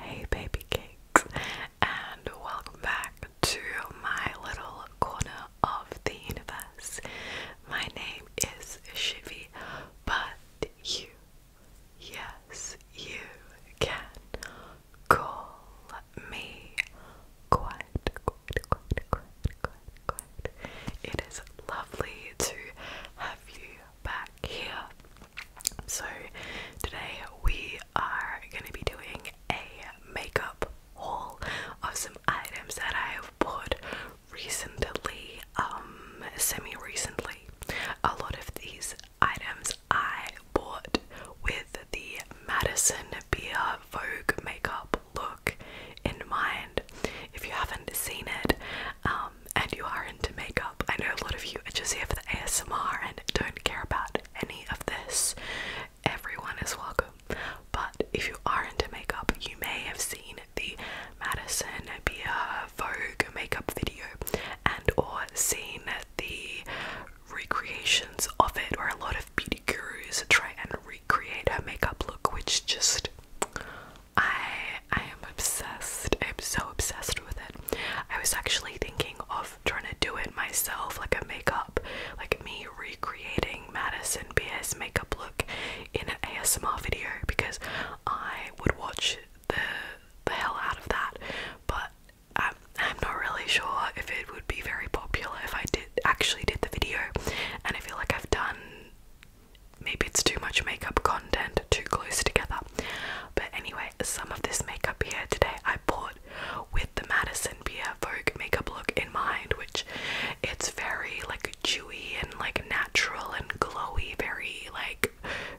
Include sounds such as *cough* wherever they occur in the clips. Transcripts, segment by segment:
Hey, baby cakes, and welcome back to my little corner of the universe. My name is Shivy, but you Yes, you can call me quiet, quiet, quiet, quiet, quiet, quiet. It is lovely to have you back here. So, today we are going to be doing a makeup haul of some items that I have bought recently, um, semi recently. A lot of these items I bought with the Madison Beer Vogue makeup look in mind. If you haven't seen it um, and you are into makeup, I know a lot of you are just here for the ASMR and don't care about any of this. Everyone is welcome. But if you are into makeup, you may have seen the Madison Beer Vogue makeup video, and or seen the recreations of it or a lot of beauty gurus try and recreate her makeup look which just I I am obsessed. I'm so obsessed with it. I was actually thinking of trying to do it myself, like a makeup, like me recreating Madison Beer's makeup look in an ASMR video because I would watch the the hell out of that. But I'm, not really sure if it would be very popular if I did actually did the video. And I feel like I've done maybe it's too much makeup content too close together. But anyway, some of this makeup here today I bought with the Madison Beer Vogue makeup look in mind, which it's very like dewy and like natural and glowy, very like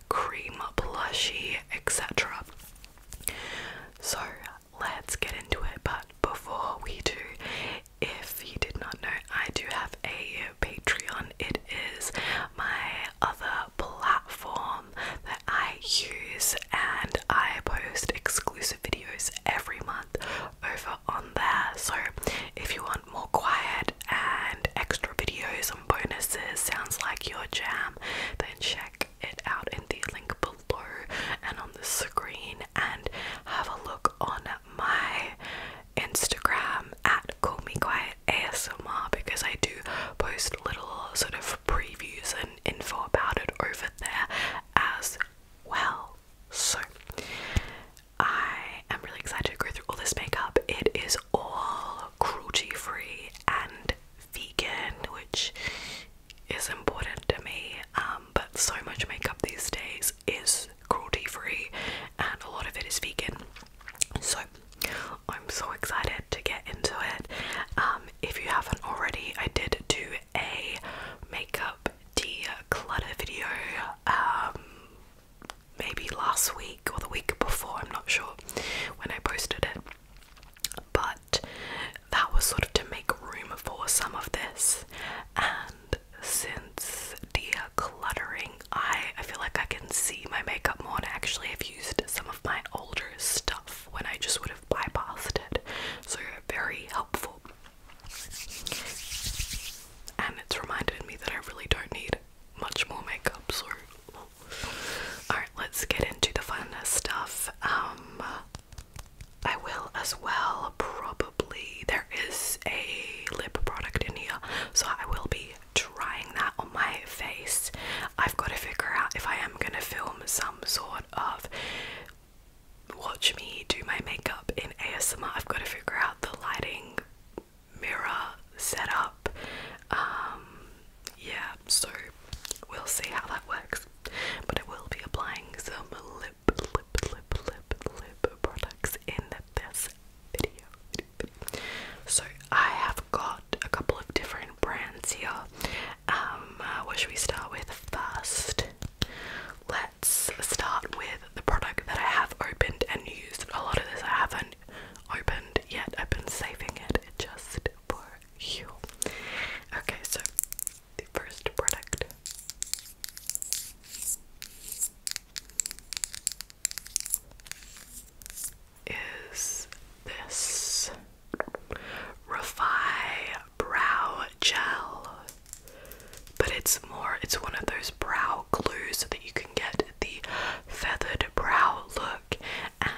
cream plushie, etc. So let's get into it. But before we do, if you did not know, I do have a Patreon. It is my other platform that I use, and I post exclusive videos every month over on there. So if you want more quiet and extra videos and bonuses sounds like your jam, then check it out in the link below and on the screen and have a look on my Instagram at call me quiet ASMR because I do post little sort of previews and info about it over there as well. So I am really excited to go through all this makeup. It is all cruelty free and vegan, which is important to me. Um, but so much makeup these days is cruelty free, and a lot of it is vegan. So I'm so excited to get into it. Um, if you haven't already, I did do a makeup declutter video. Um, maybe last week or the week before, I'm not sure when I posted it. But that was sort of to make room for some of this. And since decluttering, I, I feel like I can see my makeup more and I actually have used some of my older stuff when I just would have bypassed it. So very helpful. And it's reminded me that I really don't need much more makeup, so Alright, let's get into the fun stuff. Um, I will as well probably there is a lip product in here, so I will be trying that on my face. I've got to figure out if I am gonna film some sort of watch me do my makeup in ASMR. I've got to figure out the lighting mirror setup. Um, yeah, so we'll see how that works. But I will be applying some lip, lip, lip, lip, lip products in this video. So I have got a couple of different brands here. Um, uh, Where should we start with first? Let's start with the product that I have opened and used. A lot of this I haven't opened yet. I've been saving it just for you. Okay, so the first product. Is this Refi Brow Gel? But it's more, it's one of those brow glues that you can get the feathered brow look, and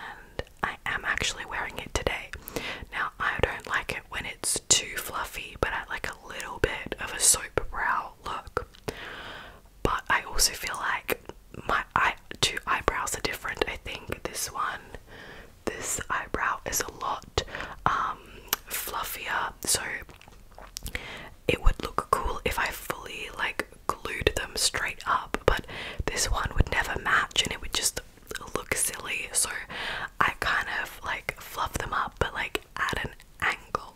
I am actually wearing it today. Now, I don't like it when it's too fluffy, but I like a little bit of a soap brow look. But I also feel like my two eyebrows are different. I think this one, this eyebrow is a lot um, fluffier, so it would look cool if I fully like glued them straight up, but this one would never match and it would just look silly. So I kind of like fluff them up, but like at an angle.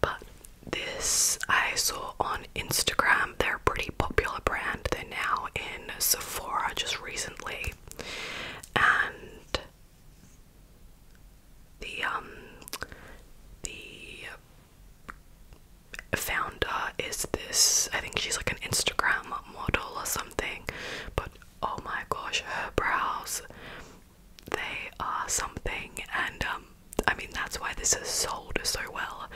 But this I saw on Instagram. They're a pretty popular brand. They're now in Sephora just recently. And the um the Founder is this I think she's like an Instagram model or something, but oh my gosh, her brows they are something, and um, I mean, that's why this is sold so well.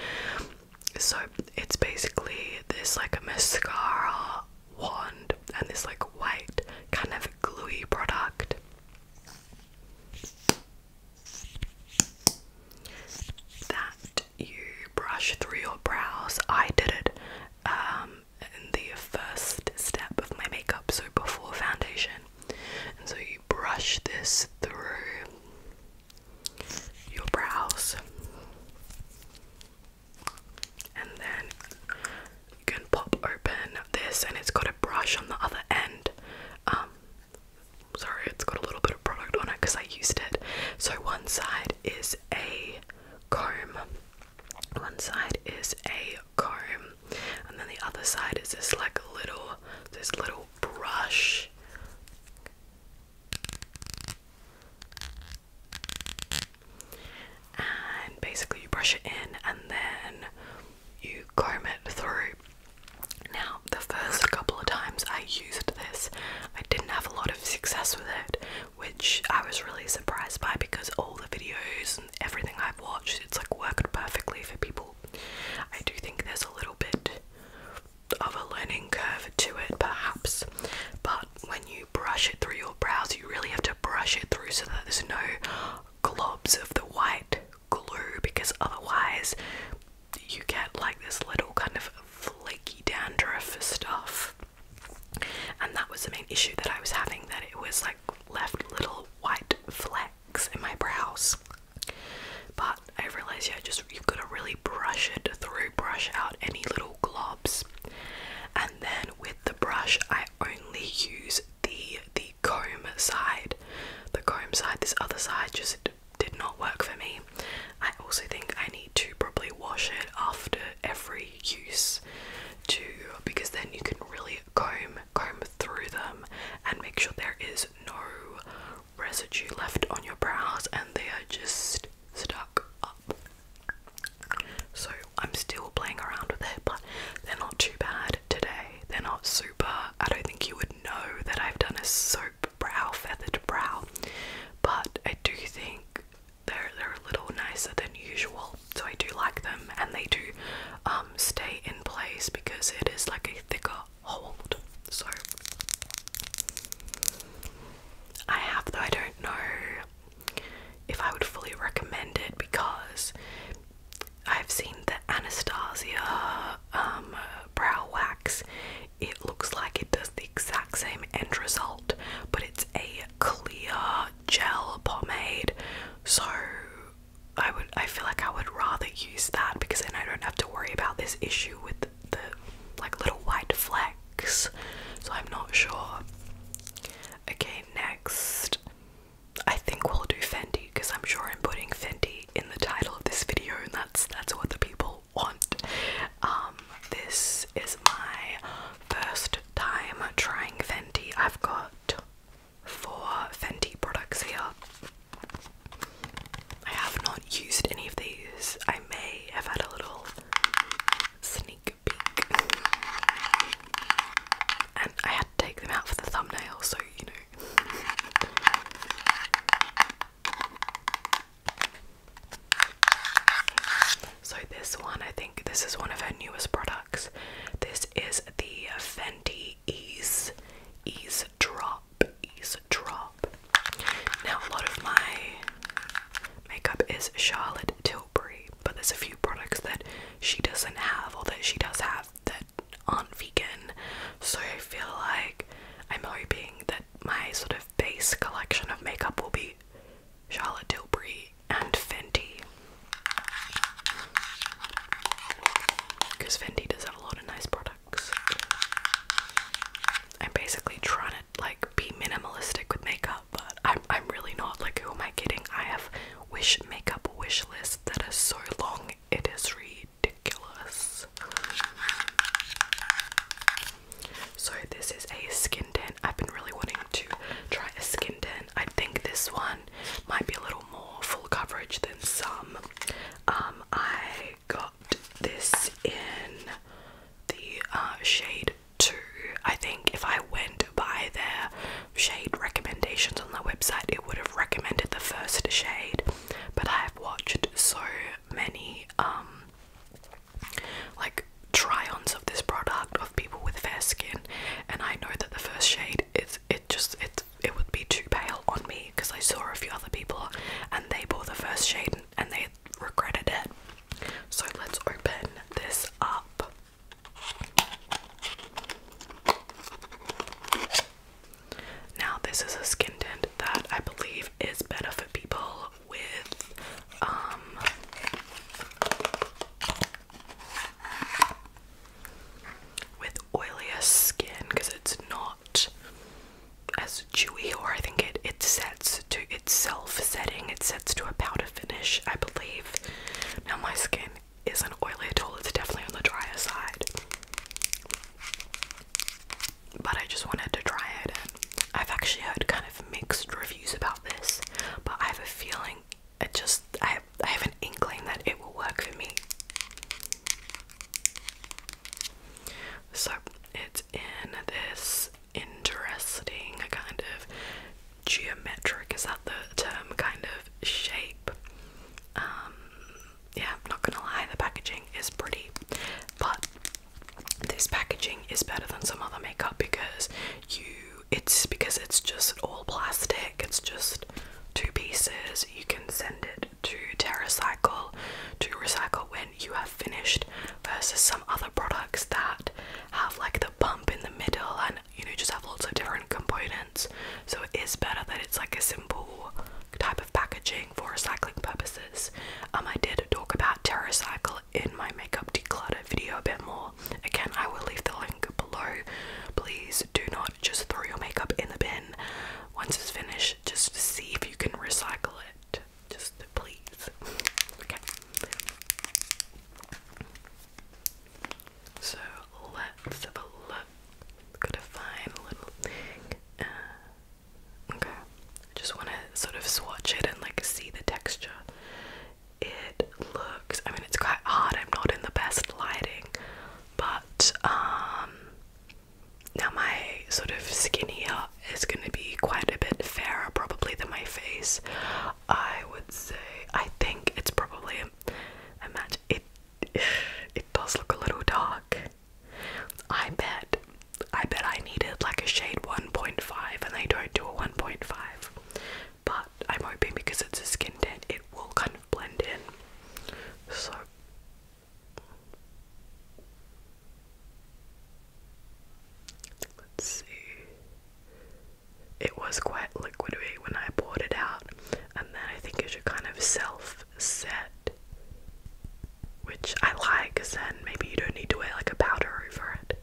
So, it's basically this like a mascara wand and this like white kind of gluey product that you brush through your brows. I did it um, in the first step of my makeup, so before foundation. And so you brush this through your brows. And then you can pop open this, and it's got a brush on the other end. Um, sorry, it's got a little bit of product on it because I used it. So one side is a comb, one side is a comb, and then the other side is this like little this little brush. And basically, you brush it in and then you comb it through. Now, the first couple of times I used this, I didn't have a lot of success with it, which I was really surprised by because all the videos and everything I've watched, it's like worked perfectly for people. I do think there's a little bit of a learning curve to it, perhaps, but when you brush it through your brows, you really have to brush it through so that there's no globs of the white glue because otherwise you get like this little kind of flaky dandruff stuff. And that was the main issue that I was having that it was like left little white flecks in my brows. But I realized, yeah, just you've got to really brush it through, brush out any little globs. And then with the brush, I only use the the comb side. The comb side, this other side just did not work for me. I also think I need to probably wash it after every use to because then you can really comb comb through them and make sure there is no residue left on your brows and they are just stuck up. So I'm still playing around with it, but they're not too bad today. They're not super. I don't think you would know that I've done a soap brow, feathered brow. But I do think they're they're a little nicer than usual, so I do like them, and they do um, stay in place because it is like a thicker hold. So I have though I don't know if I would fully recommend it because I've seen the Anastasia um, brow wax, it looks like it does the exact same end result, but it's a clear gel pomade. So I would I feel like I would rather use that because then I don't have to worry about this issue with the, the like little white flecks. So I'm not sure. Okay, next. I think we'll do Fendi because I'm sure I'm putting Fendi in the title of this video, and that's that's what the people want. Um, this is my first time trying Fenty. I've got four Fenty products here. I have not used any of these. I may have had a little sneak peek. And I had to take them out for the thumbnail, so you know. So this one, I think this is one of her newest products. This is the Fendi Ease Ease Drop Ease Drop. Now a lot of my makeup is Charlotte Tilbury, but there's a few products that she doesn't have or that she does have that aren't vegan. So I feel like I'm hoping that my sort of base collection of makeup will be Charlotte Tilbury and Fenty. Because Fenty does have a lot of nice products. I'm basically trying to like be minimalistic with makeup, but I'm I'm really not. Like who am I kidding? I have wish makeup wish list that is so long it is read ridiculous. So this is a skin tint. I've been really wanting to try a skin tint. I think this one might be a little more full coverage than some. Um, I got this in the uh, shade 2. I think if I went by their shade recommendations on their website, it would have recommended the first shade but I have watched so many um like try-ons of this product of people with fair skin and I know that the first shade it's it just it it would be too pale on me because I saw a few other people and they bought the first shade and they regretted it. So let's open this up. Now, this is a skin tint that I believe is better for people with um with oilier skin because it's not as chewy or I think it it sets to itself setting it sets to a powder finish I believe now my skin isn't oily at all it's definitely on the drier side but I just wanted to try it. I've actually heard kind of mixed reviews about this, but I have a feeling it just I I have an inkling that it will work for me. So it's in this interesting kind of geometric is that the term kind of shape um, yeah, I'm not gonna lie, the packaging is pretty, but this packaging is better than some other makeup because you it's because it's just all plastic, it's just two pieces. You can send it to TerraCycle to recycle when you have finished versus some other products that have like the bump in the middle and you know just have lots of different components. So it is better that it's like a simple type of packaging for recycling purposes. Um, I did talk about TerraCycle in my makeup declutter video a bit more. Again, I will leave the link below. Please do not just throw your makeup in the bin. Once it's finished, just see if you can recycle it. Just please. Okay. So let's have a look. Gotta find a little. Okay, I just want to sort of swatch it and like see the texture. It looks, I mean, it's quite hard, I'm not in the best lighting, but um, now my sort of skin here is going to be quite a bit fairer probably than my face. I would say, I think it's probably a, a match. It, *sighs* it does look a little dark. I bet, I bet I needed like a shade 1.5 and they don't do a 1.5. But I'm hoping because it's a skin tint, it will kind of blend in. So. Let's see. It was quite liquidy when I poured it out, and then I think it should kind of self set, which I like because then maybe you don't need to wear like a powder over it.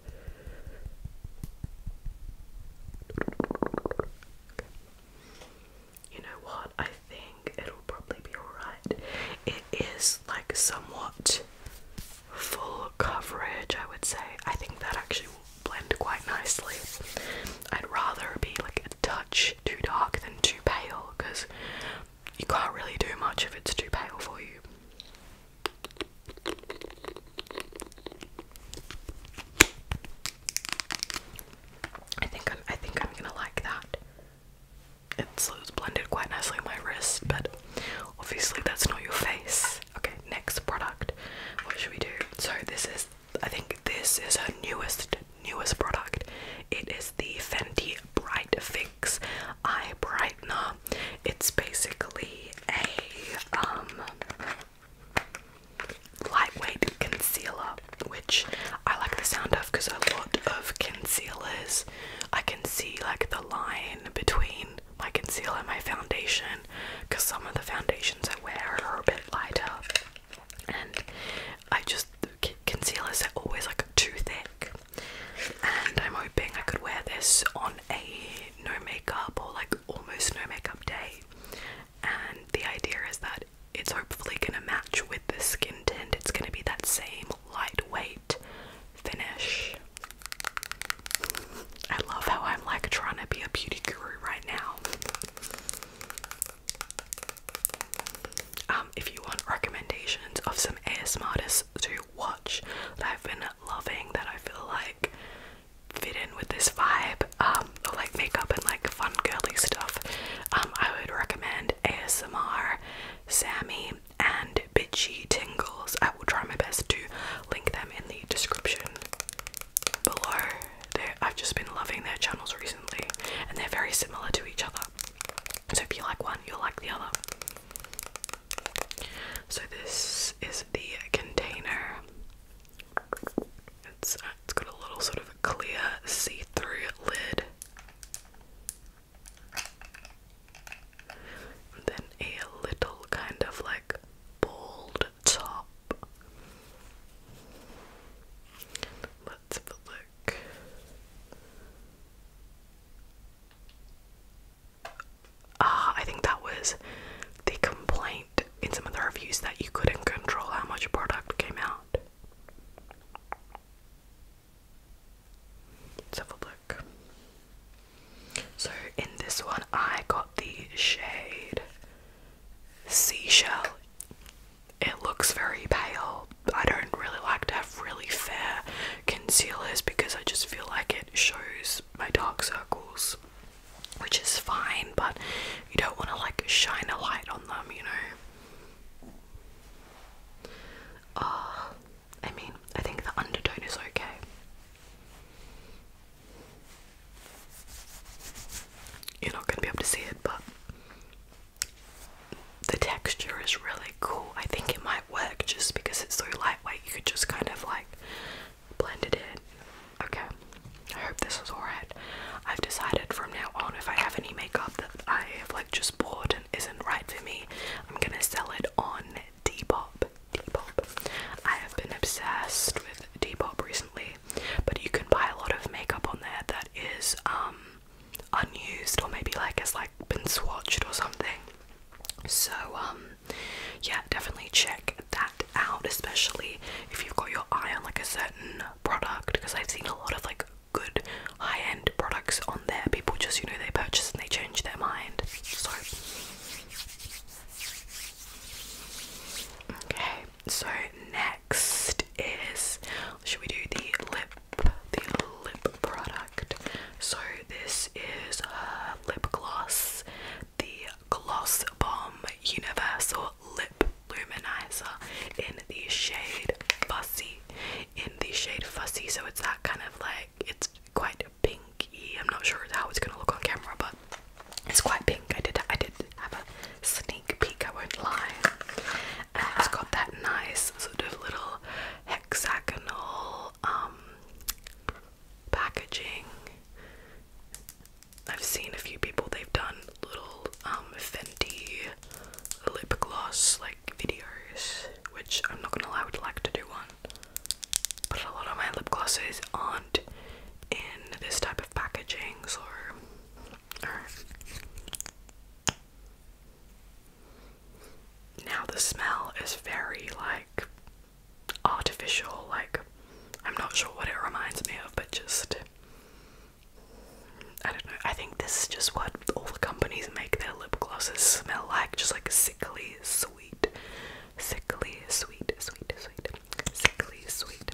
You know what? I think it'll probably be alright. It is like somewhat full coverage, I would say. I think that actually will blend quite nicely. I'd rather be like a touch too dark than too pale because you can't really do much if it's too pale for you. I think i think I'm gonna like that. it's blended quite nicely on my wrist, but obviously that's not your face. Okay, next product. What should we do? So this is I think this is her newest newest product. It is the Fenty Bright Fix Eye Brightener. It's basically a um lightweight concealer, which I like the sound of because a lot of concealers I can see like the line between my concealer and my foundation because some of the foundations I wear are a bit lighter and I just concealers are always like too thick, and I'm hoping I could wear this on a no makeup or like almost no makeup day. And the idea is that it's hopefully gonna match with the skin tint. It's gonna be that same lightweight finish. I love how I'm like trying to be a beauty guru right now. Um, if you want recommendations of some ASMR to watch that I've been loving, that I feel like fit in with this vibe, um, like makeup and like fun girly stuff, um, I would recommend ASMR, Sammy, and Bitchy Tingles. I will try my best to link them in the description below. I've just been loving their channels recently and they're very similar to each other. So if you like one, you'll like the other. So this is the container. It's it's got a little sort of clear see-through lid. And then a little kind of like bald top. Let's have a look. Ah, I think that was the complaint in some of the reviews that you couldn't control how much product came out. Let's have a look. So, in this one, I got the shade Seashell it looks very pale. I don't really like to have really fair concealers because I just feel like it shows my dark circles, which is fine, but you don't want to like shine a light on them, you know? Uh, I mean, I think the undertone is okay. You're not going to be able to see it, but the texture is really cool. I think it might work just because it's so lightweight. You could just kind of like blend it in. Okay, I hope this is alright. I've decided from now on if I have any makeup that I have like just bought and isn't right for me, I'm gonna sell it on Depop. Depop. I have been obsessed with Depop recently, but you can buy a lot of makeup on there that is um unused or maybe like it's like been swatched or something. So um, yeah, definitely check that out, especially if you've got your eye on like a certain product because I've seen a lot of like good high-end products on there. People just you know they purchase and they change their mind. So Okay, so next is should we do the lip the lip product. So this is her lip gloss, the Gloss Bomb Universal Lip Luminizer in the shade Fussy. In the shade Fussy, so it's that kind of like it's quite pinky. I'm not sure how it's gonna look on camera, but it's quite pink. I did I did have a sneak peek, I won't lie. it's got that nice sort of little hexagonal um, packaging. I've seen a few people, they've done little um, Fenty lip gloss like videos, which I'm not gonna lie, I would like to do one. But a lot of my lip glosses aren't in this type of packaging, so. Now the smell is very like artificial, like I'm not sure what it reminds me of, but just I don't know. I think this is just what all the companies make their lip glosses smell like, just like sickly sweet, sickly sweet, sweet, sweet, sickly sweet.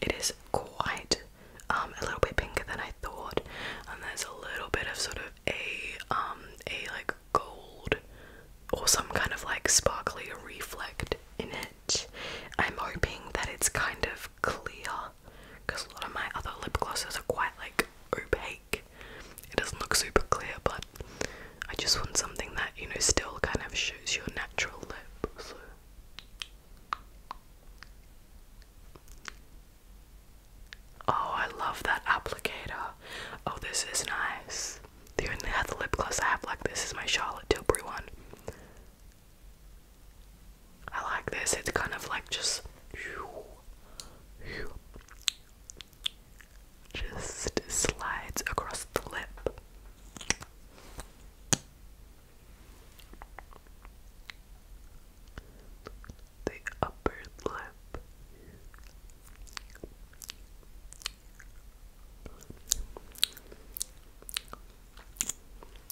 It is quite um, a little bit pinker than I thought, and there's a little bit of sort of a um a like gold or some kind of like sparkly reflect in it. I'm hoping that it's kind of clear because a lot of my other lip glosses are quite like opaque. It doesn't look super clear, but I just want something that, you know, still kind of shows your natural lip. Oh, I love that applicator. Oh, this is nice. The only other lip gloss I have like this is my Charlotte Tilbury one. I like this, it's kind of like just just slides across the lip. The upper lip.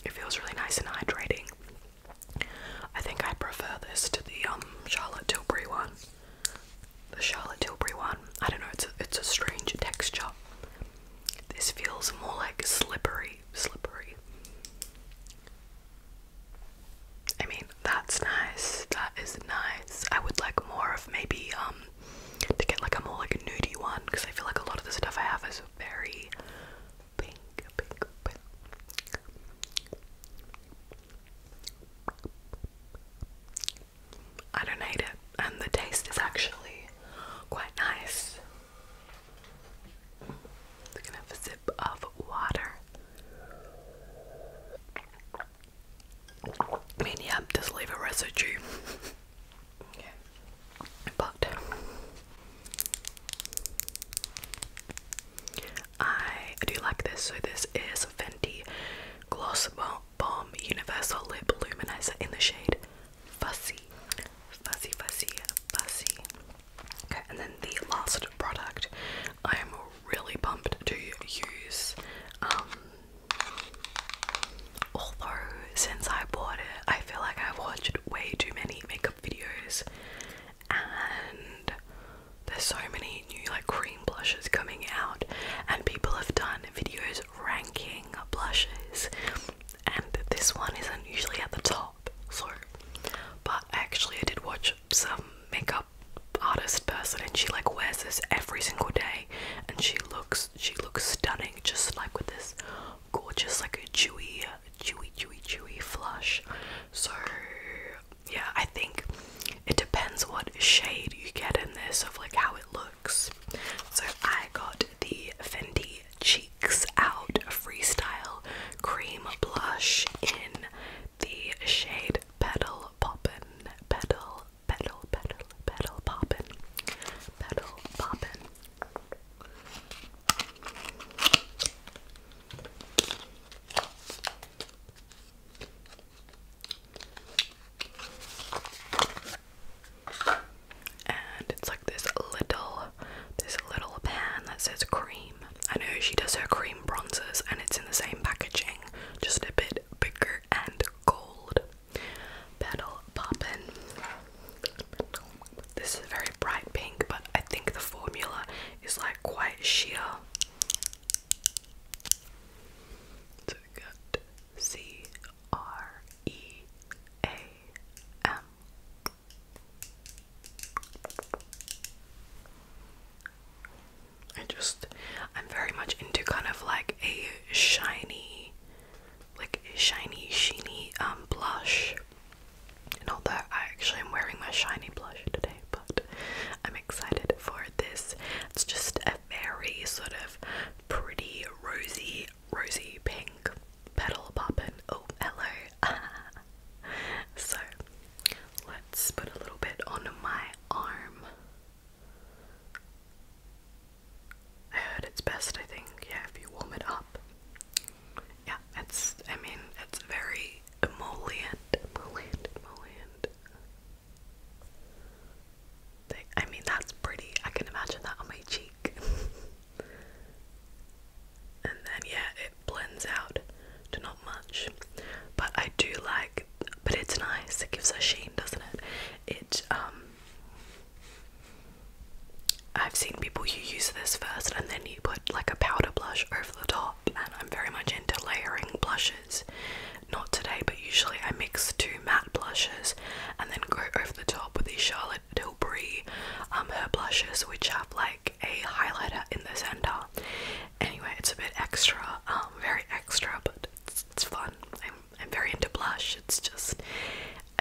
It feels really nice and hydrating. I think I prefer this to the um Charlotte Tilbury one the Charlotte Tilbury one. I don't know, it's a, it's a strange texture. This feels more like slippery, slippery. I mean, that's nice. That is nice. I would like more of maybe um to get like a more like a nudie one because I feel like a lot of the stuff I have is very pink, pink, pink. I don't hate it, and the taste is actually quite nice. i gonna have a sip of water. I mean, yeah, just leave a residue. okay. *laughs* But I do like this. So this is Fenty Gloss Bomb Universal Lip Luminizer in the shade Fussy. Fussy, fussy, fussy. Okay, and then the last product I am really pumped to use. Um, although since I bought it, I feel like I've watched way too many makeup videos and there's so many new like cream blushes coming out and people have done videos ranking blushes and this one isn't usually at the top Sorry, but actually I did watch some makeup artist person and she like wears this every single day and she looks she looks stunning just like with this gorgeous like a chewy chewy chewy dewy flush so yeah, I think it depends what shade you get in this of like how it looks. So I got the Fendi Cheeks Out Freestyle Cream Blush in the shade Petal Poppin', Petal, Petal, Petal, Petal Poppin', Petal Poppin'. And it's like this little this little pan that says cream. I know she does her cream bronzers and it's in the same packaging, just a bit bigger and gold. Petal poppin'. This is very bright pink, but I think the formula is like quite sheer. So we got C R E A M. I just, I'm very much into kind of like a shiny, like a shiny, sheeny um, blush. And all that. I actually am wearing my shiny blush today but I'm excited for this. It's just a very sort of pretty rosy, rosy pink petal poppin'. Oh, hello. *laughs* so let's put a little bit on my arm. I heard it's best, I think, yeah, if you warm it up. Yeah, it's, I mean, it's very emollient, emollient, emollient. I mean, that's pretty. I can imagine that on my cheek. *laughs* and then, yeah, it blends out to not much. But I do like, but it's nice. It gives a sheen, doesn't it? It, um, I've seen people who use this first and then you put like a powder blush over the top and I'm very much into layering blushes. Not today, but usually I mix two matte blushes and then go over the top with these Charlotte Tilbury um her blushes which have like a highlighter in the center. Anyway, it's a bit extra, um very extra, but it's, it's fun. I'm I'm very into blush. It's just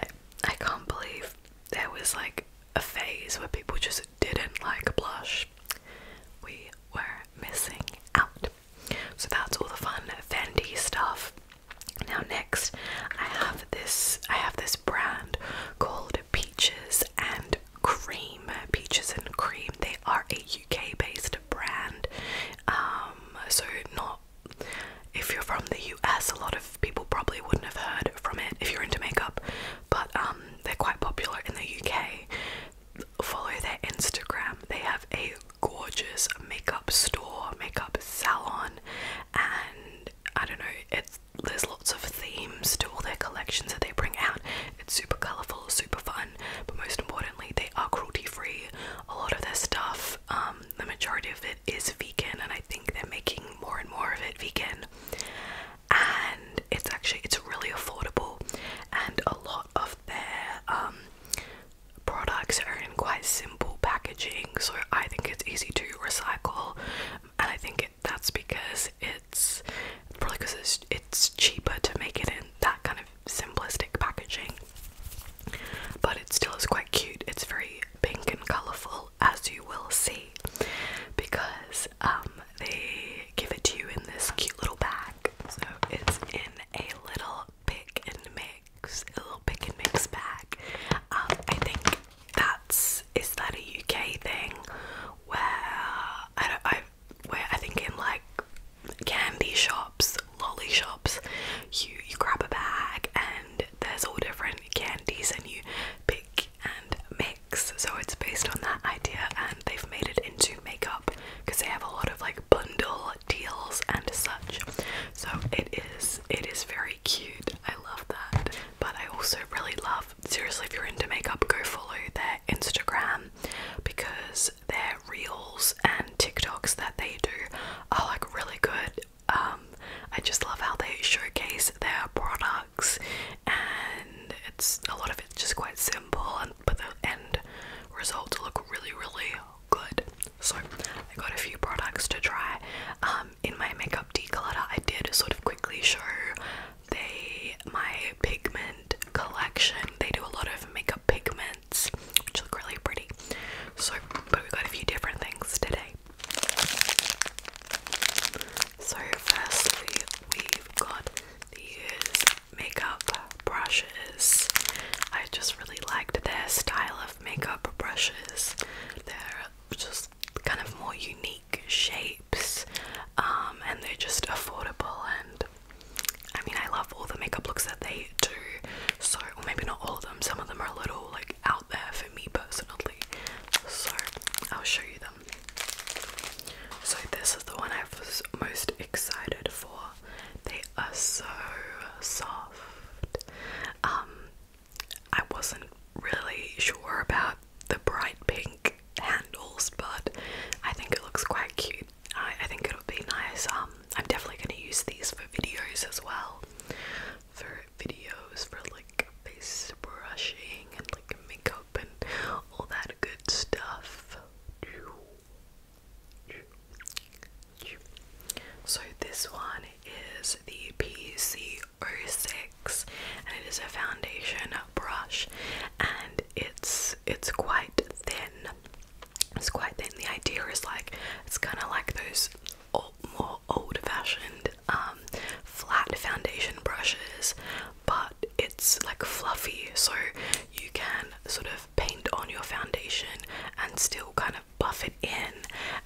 I, I can't believe there was like a phase where people just didn't like blush, we were missing out. So that's all the fun Fendi stuff. Now next, I have this. I have this brand called Peaches and Cream. Peaches and Cream. They are a UK-based brand. Um, so not. If you're from the US, a lot of people probably wouldn't have heard from it if you're into makeup, but um, they're quite popular in the UK follow their Instagram. They have a gorgeous makeup store, makeup salon, and I don't know, it's there's lots of themes to all their collections that they bring out. It's super colorful, super fun, but most importantly, they are cruelty free. A lot of their stuff, um, the majority of it is vegan, and I think they're making more and more of it vegan and it's actually it's really affordable and a lot of their um, products are in quite simple packaging so I think it's easy to recycle and I think that's because it's probably because it's, cheaper to make it in that kind of simplistic packaging but it still is quite cute it's very pink and colourful as you will see because um, they give it to you in this cute little bag. So it's in a little pick and mix, a little pick and mix bag. Um, I think that's is that a UK thing where I do I where I think in like candy shops, lolly shops, you you grab a bag and there's all different candies and you pick and so it's based on that idea, and they've made it into makeup because they have a lot of like bundle deals and such. So it is it is very cute. I love that. But I also really love seriously if you're into makeup, go follow their Instagram because their reels and TikToks that they do are like really good. Um, I just love how they showcase their products and it's a lot of it's just quite simple, and but the end results look really, really good. So I got a few products to try. Um, in my makeup declutter, I did sort of quickly show they my pigment collection. They do a lot of makeup pigments, which look really pretty. So, but we got a few different things today. So, firstly, we've got these makeup brushes. I just really liked their style of makeup brushes. They're just kind of more unique shapes um, and they're just affordable. And I mean, I love all the makeup looks that they do. So, or maybe not all of them, some of them are a little like out there for me personally. So, I'll show you so this is the one I was most excited for. They are so soft. Um, I wasn't really sure about the bright pink handles, but I think it looks quite cute. I, think it'll be nice. Um, I'm definitely gonna use these for videos as well. For videos for like face brushing and like makeup and all that good stuff. So this one is the P C 6 and it is a foundation brush and it's it's quite thin. It's quite thin. The idea is like it's kind of like those old, more old-fashioned um, flat foundation brushes, but it's like fluffy, so you can sort of paint on your foundation and still kind of buff it in,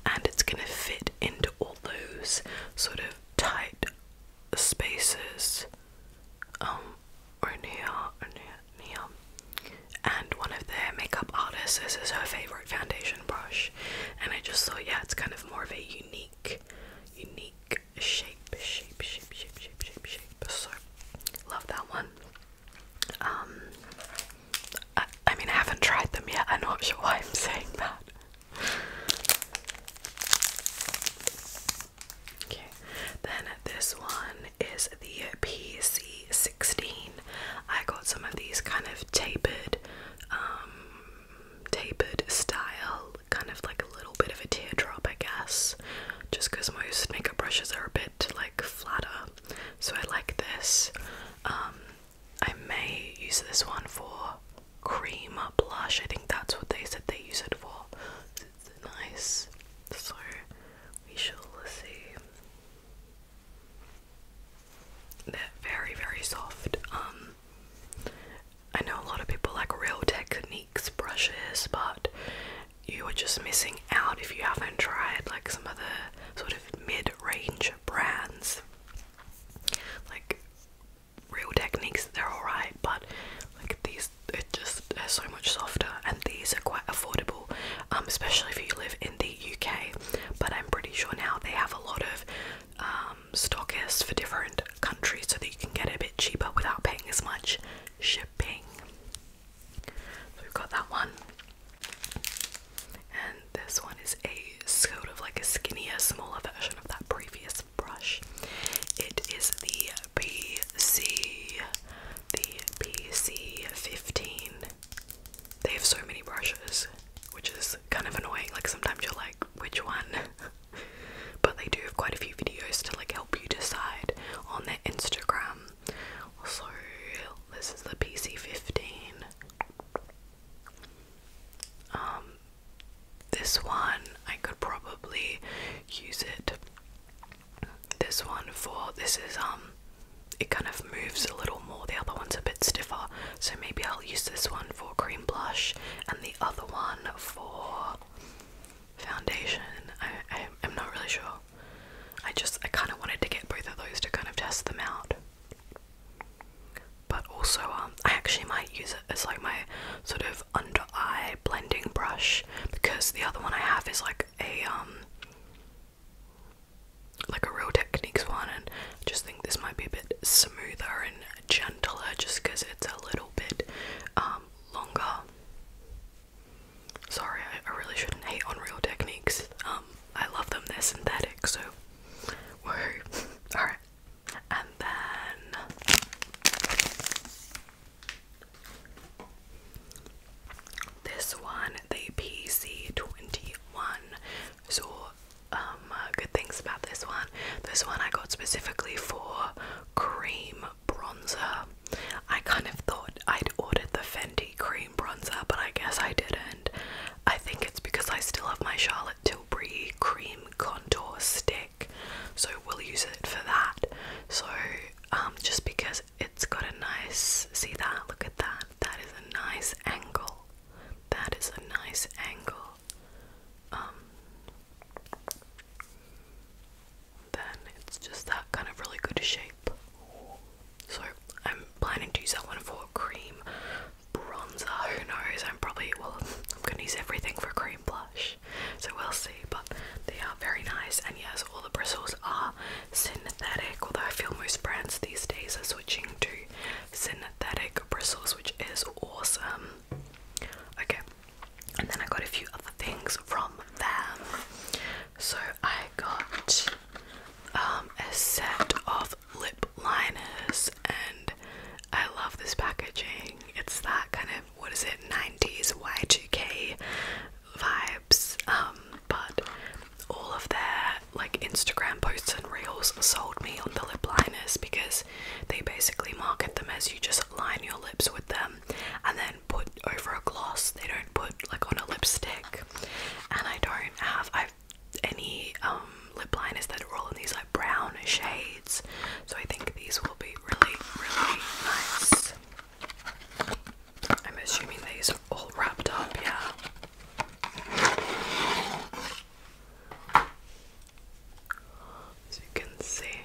and it's gonna fit into all those sort of tight spaces. Um, or near, or And one of their makeup artists, this is her favorite foundation brush, and I just thought, yeah, it's kind of more of a unique, unique shape, shape, shape, shape, shape, shape, shape. So love that one. Um, I, I mean, I haven't tried them yet. I'm not sure why I'm saying that. Okay, then this one is the PC16. I got some of these kind of tapered, um, tapered style kind of like a little bit of a teardrop, I guess, just because most makeup brushes are a bit like flatter. So I like this. Um, I may use this one for cream blush. I think that's what they said they use it for. It's nice. So we shall see. They're very, very soft. Um, I know a lot of people like real techniques brushes, but you are just missing out if you haven't tried like some other sort of mid-range brands. Like real techniques, they're alright, but like these, it just they're so much softer, and these are quite affordable, um, especially if you live in the UK. But I'm pretty sure now they have a lot of um, stockists for different countries, so that you can get it a bit cheaper without paying as much shipping. we've got that one. And this one is a sort of like a skinnier, smaller version of that previous brush. It is the BC, the BC15. They have so many brushes, which is kind of annoying. Like sometimes you're like, which one? *laughs* but they do have quite a few videos to like help you decide on their Instagram. So this is the PC15. Um this one I could probably use it. This one for this is um it kind of moves a little more. The other one's a bit stiffer, so maybe I'll use this one for cream blush and the other one for foundation. I, I am not really sure. I just I kind of wanted to get both of those to kind of test them out. But also, um, I actually might use it as like my sort of under eye blending brush because the other one I have is like a um like a real techniques one, and I just think this might be a bit smoother and gentler just because it's a little bit um longer. Sorry, I, really shouldn't hate on real techniques. Um, I love them, they're synthetic, so *laughs* Alright. And then this one, the PC21. So um, good things about this one. This one I got specifically for cream bronzer. I kind of thought I'd ordered the Fendi cream bronzer, but I guess I didn't. I think it's because I still have my Charlotte Tilbury cream contour stick, so we'll use it for that. So, um, just because it's got a nice, see that? Look at that. That is a nice angle. That is a nice angle. Um, then it's just that kind of really good shape. So I'm planning to use that one for cream bronzer. Who knows? I'm probably well. I'm gonna use everything for cream blush, so we'll see. But they are very nice, and yes, all the bristles are synthetic. Although I feel most brands these days are switching to synthetic bristles, which is awesome. Okay, and then I got a few other things from them. So I got um, a set of lip liners, and I love this packaging. It's that kind of what is it, 90s Y2K vibes. Um, but all of their like Instagram posts and reels sold me on the lip liners because they basically market them as you just line your lips with them and then put over a gloss. They don't put like on a lipstick. And I don't have I've any um lip liners that are all in these like brown shades. So I think these will be really, really nice. I'm assuming these are all wrapped up, yeah. As you can see,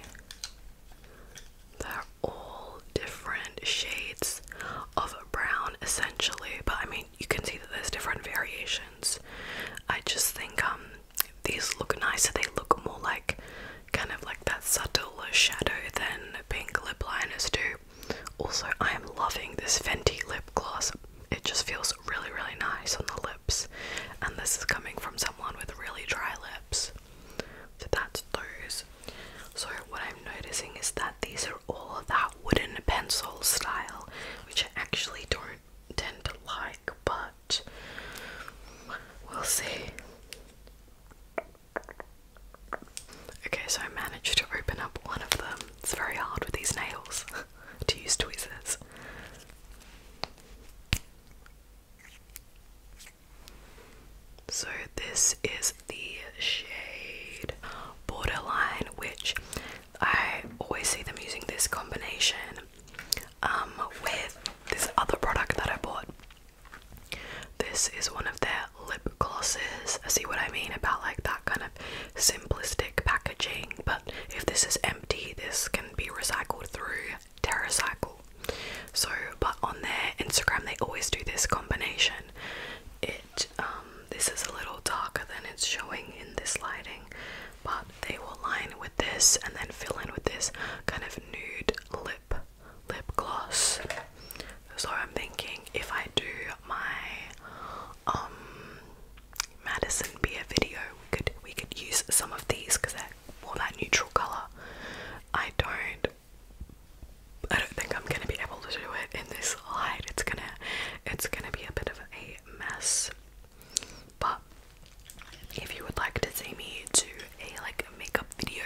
they're all different shades of brown essentially, but I mean you can see that there's different variations. I just think um, these look nicer, they look more like kind of like that subtle shadow than pink lip liners do. Also, I am loving this Fenty lip gloss. It just feels really, really nice on the lips. And this is coming from someone with really dry lips. So that's those. So what I'm noticing is that these are all that wooden pencil style, which I actually don't tend to like, but we'll see. Okay, so I managed to open up one of them. It's very hard with these nails *laughs* to use tweezers. So, this is the shade Borderline, which I always see them using this combination um, with this other product that I bought. This is one of their lip glosses. I see what I mean about like that kind of simplistic packaging, but if this is empty, this can be recycled through TerraCycle. So, but on their Instagram, they always do this combination. It, um, this is a little darker than it's showing in this lighting, but they will line with this and then fill in with this kind of nude lip lip gloss. So I'm thinking if I do my um Madison Beer video, we could we could use some of these because they're more that neutral colour. I don't I don't think I'm gonna be able to do it in this light. It's gonna it's gonna be a bit of a mess. But if you would like to see me do a like makeup video,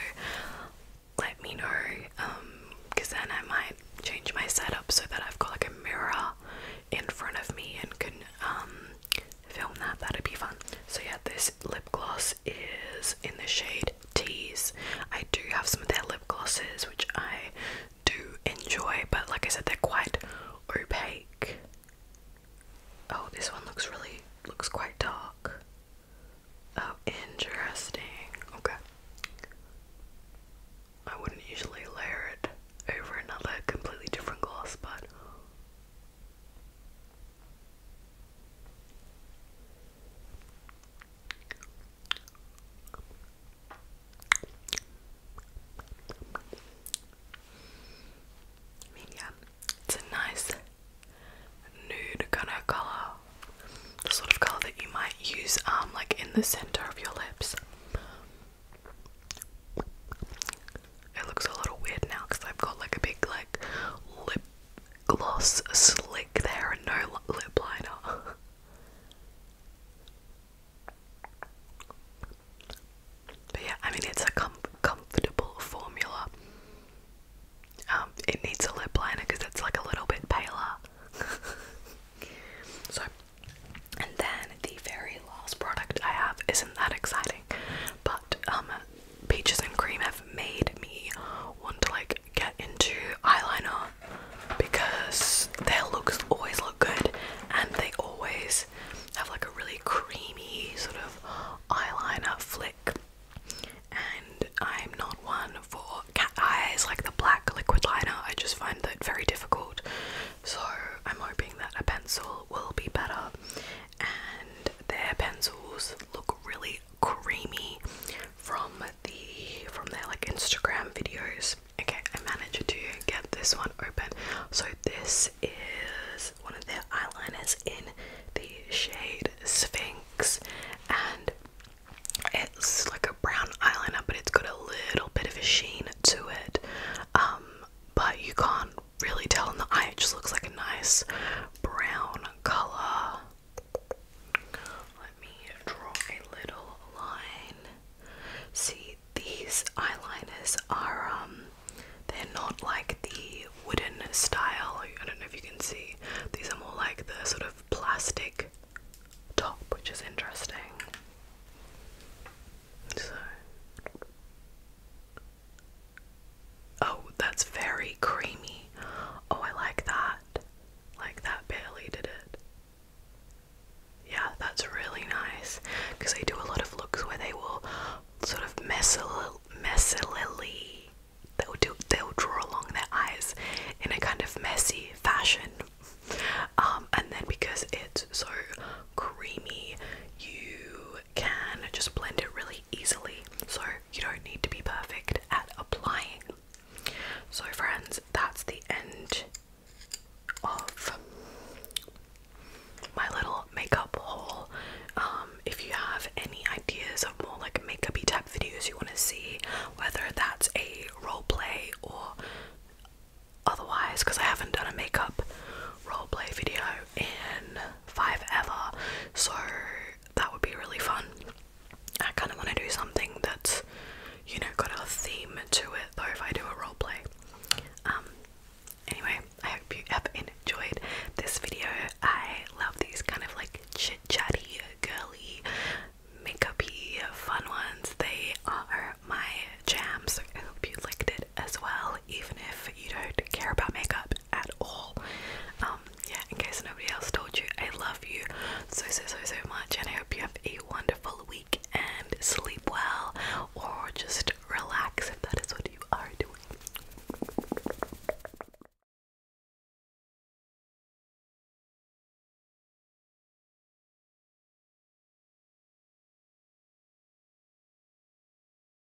let me know. Um, cause then I might change my setup so that I've got like a mirror in front of me and can um film that. That'd be fun. So yeah, this lip gloss is in the shade Tease. I do have some of their lip glosses, which I do enjoy, but like I said, they're quite opaque. Oh, this one looks really looks quite dark. Oh, interesting. Okay. I wouldn't usually layer it over another completely different gloss, but it's a nice nude kind of color, the sort of color that you might use, um, like in the center of your lips. It looks a little weird now because I've got like a big like lip gloss slick there and no lip liner. *laughs* but yeah, I mean it's a com comfortable formula. Um, it needs a lip liner because it's like a little bit paler. *laughs* so, and then the very last product I have isn't that exciting, but um, peaches and cream have made me want to like get into eyeliner because their looks always look good and they always have like a really creamy sort of eyeliner flick and I'm not one for cat eyes like the black liquid liner I just find that very difficult so I'm hoping that a pencil will be better and their pencils look really creamy from the from their like Instagram videos. Okay, I managed to get this one open. So this is one of their eyeliners in the shade Sphinx and it's like a brown eyeliner but it's got a little bit of a sheen to it. Um, but you can't really tell in the eye. It just looks like a nice brown color. Let me draw a little line. See, these eyeliners are, um, they're not like the wooden style. I don't know if you can see. These are more like the sort of plastic top, which is interesting. So. Oh, that's very creamy. Oh, I like that. Like that barely did it. Yeah, that's really nice because they do a lot of looks where they will sort of messily they'll do they'll draw along their eyes in a kind of messy fashion. Um, and then because it's so creamy, you can just blend it really easily, so you don't need to be perfect at applying. So, friends, that's the end of my little makeup haul. Um, if you have any ideas of more like makeupy type videos you want to see, whether that's a role play or otherwise, because I haven't done a makeup role play video in five ever. So that would be really fun. I kind of want to do something that's, you know, got a theme to it though if I do a role play. Um, anyway, I hope you have enjoyed this video. I love these kind of like chit chatty, girly, makeupy, fun ones. They are my jams. I hope you liked it as well, even if you don't care about makeup at all. Um, yeah, in case nobody else told you, I love you so, so, so, so much, and I hope you have a wonderful week and sleep well or just relax if that is what you are doing.